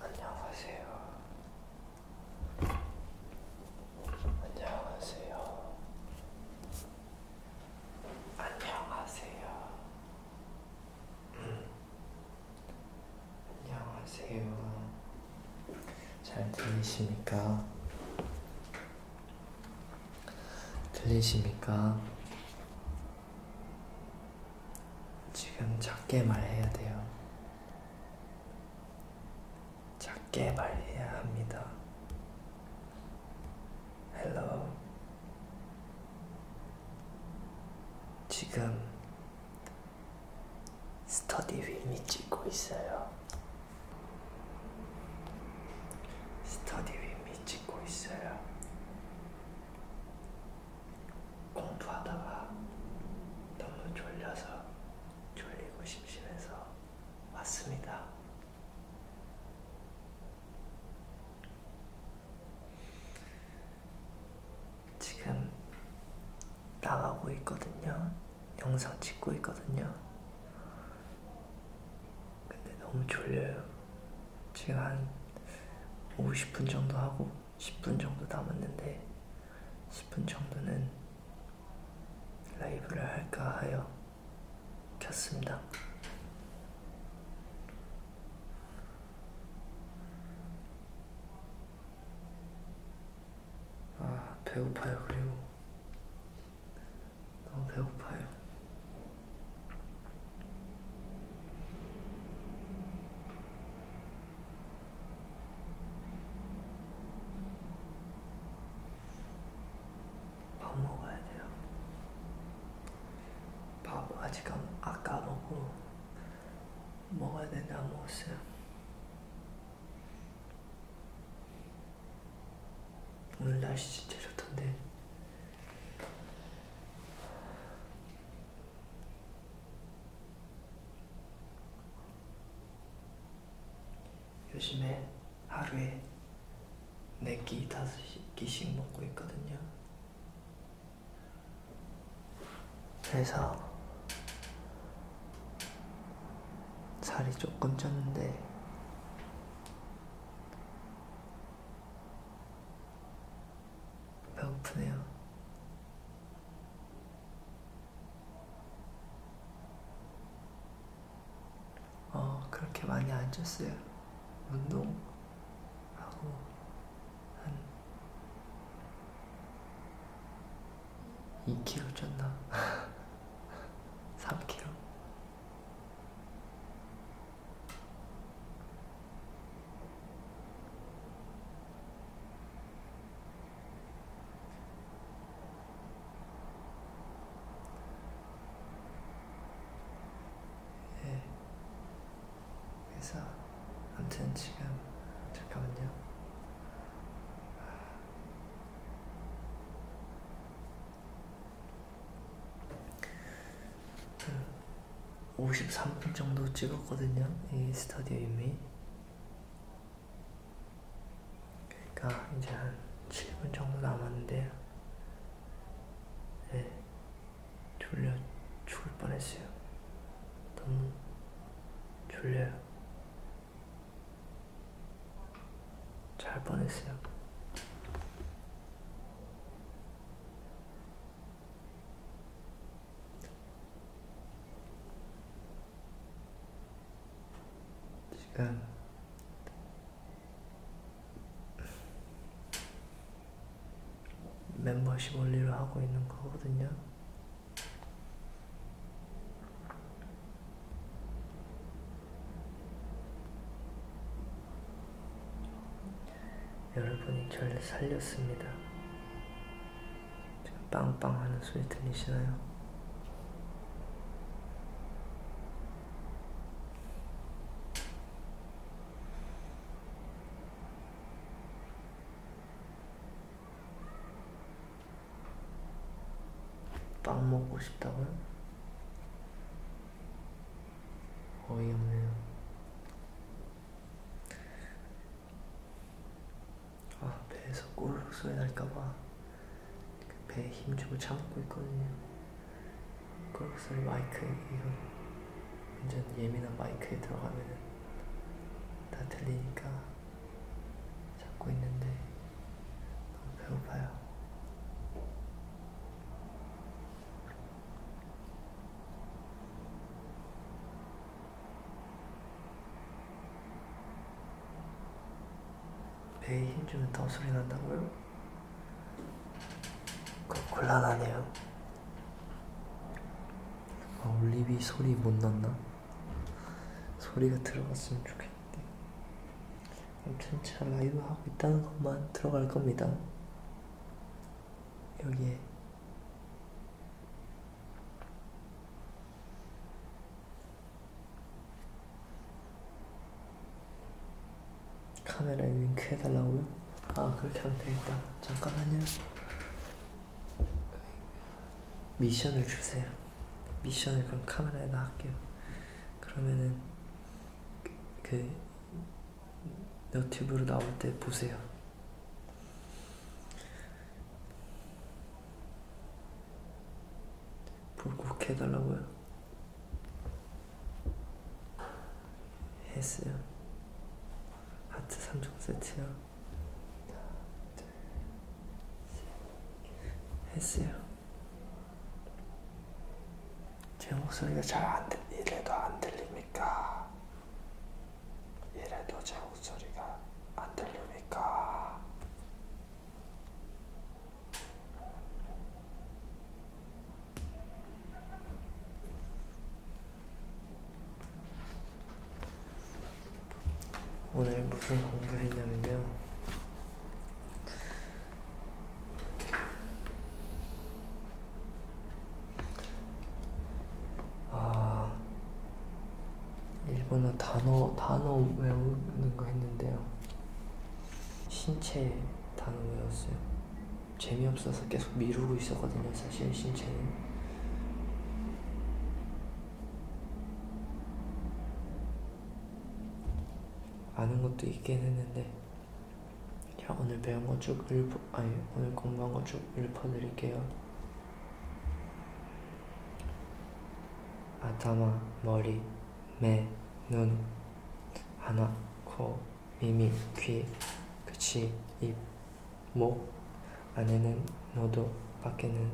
안녕하세요. 안녕하세요. 안녕하세요. 안녕하세요. 잘 들리십니까? 들리십니까? 지금 작게 말해야 돼요. 작게 말해야 합니다. Hello. 지금 스터디 휠이 찍고 있어요. 스터디 윗미 찍고 있어요. 공부하다가 너무 졸려서 졸리고 심심해서 왔습니다. 지금 나가고 있거든요. 영상 찍고 있거든요. 근데 너무 졸려요. 지금 한 50분 정도 하고 10분 정도 남았는데 10분 정도는 라이브를 할까 하여 켰습니다. 아, 배고파요. 그리고 너무 배고파요. 밥 먹어야 돼요. 밥 아직 안, 아까 먹고 먹어야 되는데 안 먹었어요. 오늘 날씨 진짜 좋던데 요즘에 하루에 4끼, 5끼씩 먹고 있거든요 그래서 살이 조금 쪘는데 배고프네요. 어, 그렇게 많이 안 쪘어요. 운동하고 한 2kg 쪘나? 3kg? 예. 그래서 아무튼 지금 잠깐만요. 53분 정도 찍었거든요 이 스타디오 이미 그러니까 이제 한 7분 정도 남았는데 네, 졸려 죽을 뻔했어요 너무 졸려요 잘 뻔했어요. 지금 멤버십 올리를 하고 있는 거거든요. 여러분이 저를 살렸습니다. 지금 빵빵 하는 소리 들리시나요? 빵 먹고 싶다고요? 어이없네요. 아, 배에서 꼬르륵 소리 날까봐 배에 힘주고 참고 있거든요. 꼬르륵 소리 마이크, 이거 완전 예민한 마이크에 들어가면은 다 들리니까. 잡고 있는데 너무 배고파요. 배에 힘주면 더 소리 난다고요? 그 곤란하네요. 아, 올리비 소리 못 났나? 소리가 들어갔으면 좋겠는데 아무튼 잘 라이브 하고 있다는 것만 들어갈 겁니다 여기에 카메라에 윙크 해달라고요? 아 그렇게 하면 되겠다 잠깐만요 미션을 주세요 미션을 그럼 카메라에다 할게요. 그러면은 그, 그 너튜브로 나올 때 보세요. 보고 그렇게 해달라고요. 했어요. 하트 3종 세트요. 했어요. 제 목소리가 잘 안 들, 이래도 안 들립니까? 이래도 제 목소리가 안 들립니까? 오늘 무슨 공부를 했냐면요. 아, 일본어 단어, 단어 외우는 거 했는데요. 신체 단어 외웠어요. 재미없어서 계속 미루고 있었거든요, 사실 신체는. 아는 것도 있긴 했는데 자 오늘 배운 거 쭉 읊어 아니 오늘 공부한 거 쭉 읊어드릴게요 아타마 머리 매눈 하나 코 미미 귀 그치 입목 안에는 너도 밖에는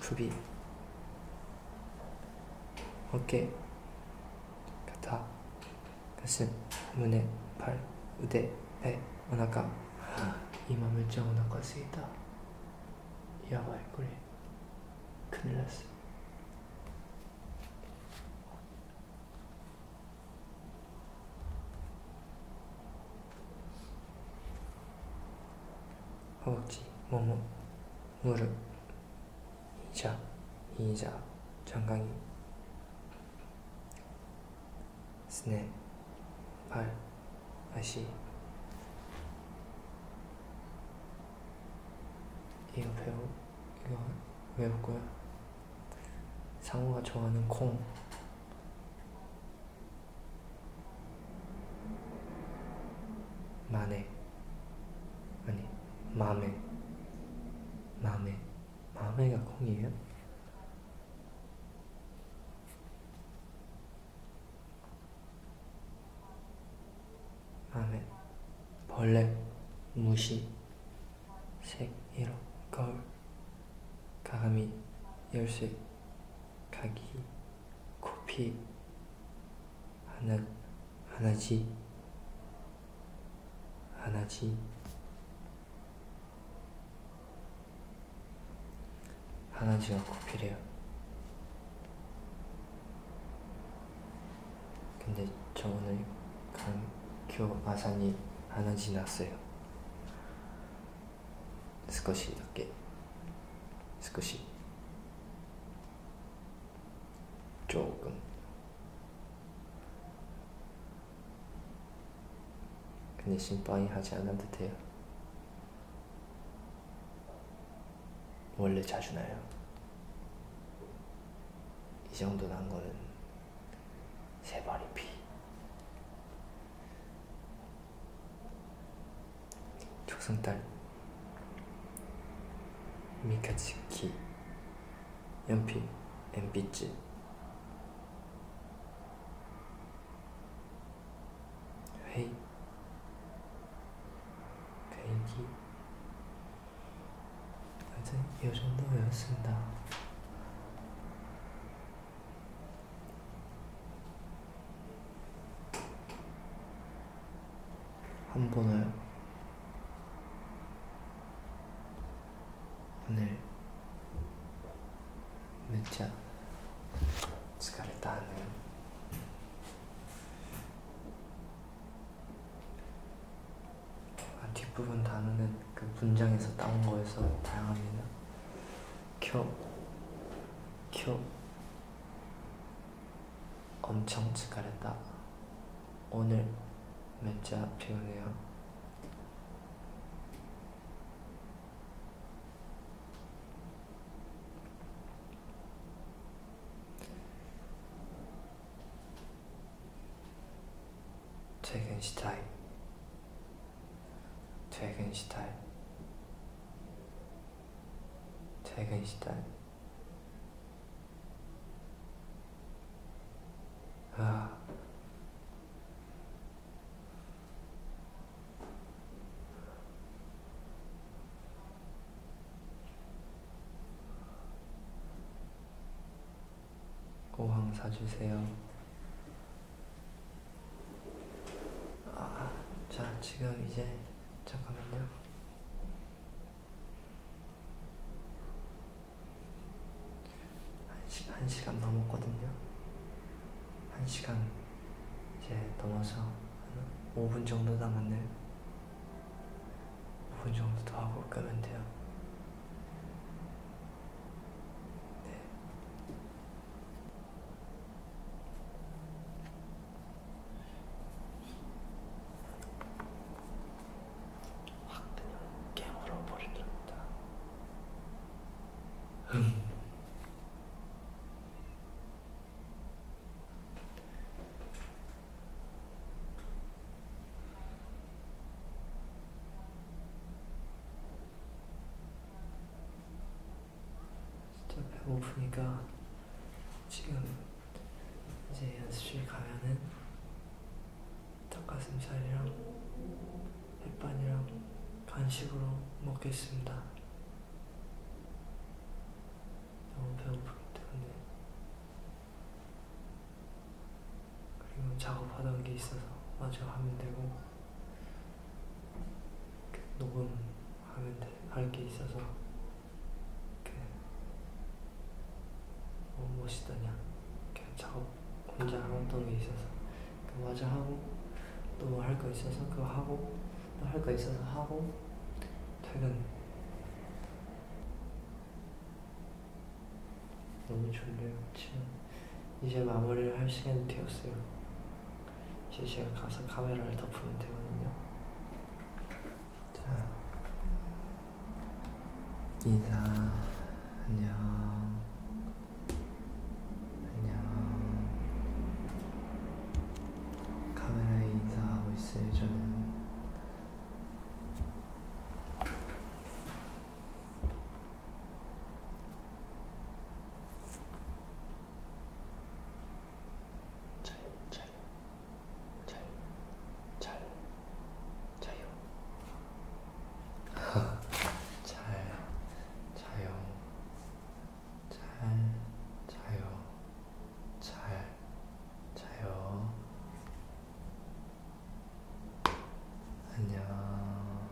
굽이 어깨 가다 가슴胸 팔腕 배 오나가 이마 물장 오나가 쓰이다 야바이 꼬리 큰일 났어 허벅지, 몸무, 무릎, 이자, 이자, 정강이, 스냅, 발, 아시, 이거 배우, 이거 외웠고요. 상호가 좋아하는 콩, 만에 아니 맘에 맘에 맘에가 콩이에요? 맘에 벌레 무시 색이로 거울 가감이 열쇠 가기 커피 하나 하나지 하나지 하나지가 커피래요. 근데 저 오늘 강교 아산이 하나지 났어요. 少しだけ少し조금 근데 심판하지 않아도 돼요 원래 자주 나요 이 정도 난 거는 세 발이 피 조선딸 미카츠키 연필 엠비츠 회의 배기 하여튼 이 정도였습니다. 안 보나요? 오늘 진짜 疲れたね뒷부분 단어는 그 문장에서 따온 거에서 다양합니다. 켜, 켜. 엄청 지가랬다. 오늘 몇자 배우네요. 퇴근 시타임 퇴근 시달 퇴근 시달 아 꼬황 사주세요 아, 자, 지금 이제 잠깐만요. 한, 시, 한 시간 넘었거든요. 한 시간 이제 넘어서 한 5분 정도 남았네요. 5분 정도 더 하고 끄면 돼요. 네. 확 그냥 깨물어 버리더랍니다. 음. 좀 배고프니까 지금 이제 연습실 가면은 닭가슴살이랑 햇반이랑 간식으로 먹겠습니다. 너무 배고프기 때문에 그리고 작업하던 게 있어서 마저 하면 되고 녹음하면 할게 있어서 이렇게 어, 멋있더냐 이렇게 작업 혼자 하던 게 있어서 그 마저 하고 또 할 거 있어서 그거 하고 또 할 거 있어서 하고 퇴근 너무 졸려요 지금 이제 마무리를 할 시간이 되었어요 실시간 가상 카메라를 덮으면 되거든요. 자, 인사, 안녕, 안녕. 카메라에 인사하고 있어요, 저는. 잘, 잘, 잘, 잘, 자요. 잘, 자요. 잘, 자요. 잘, 자요. 안녕.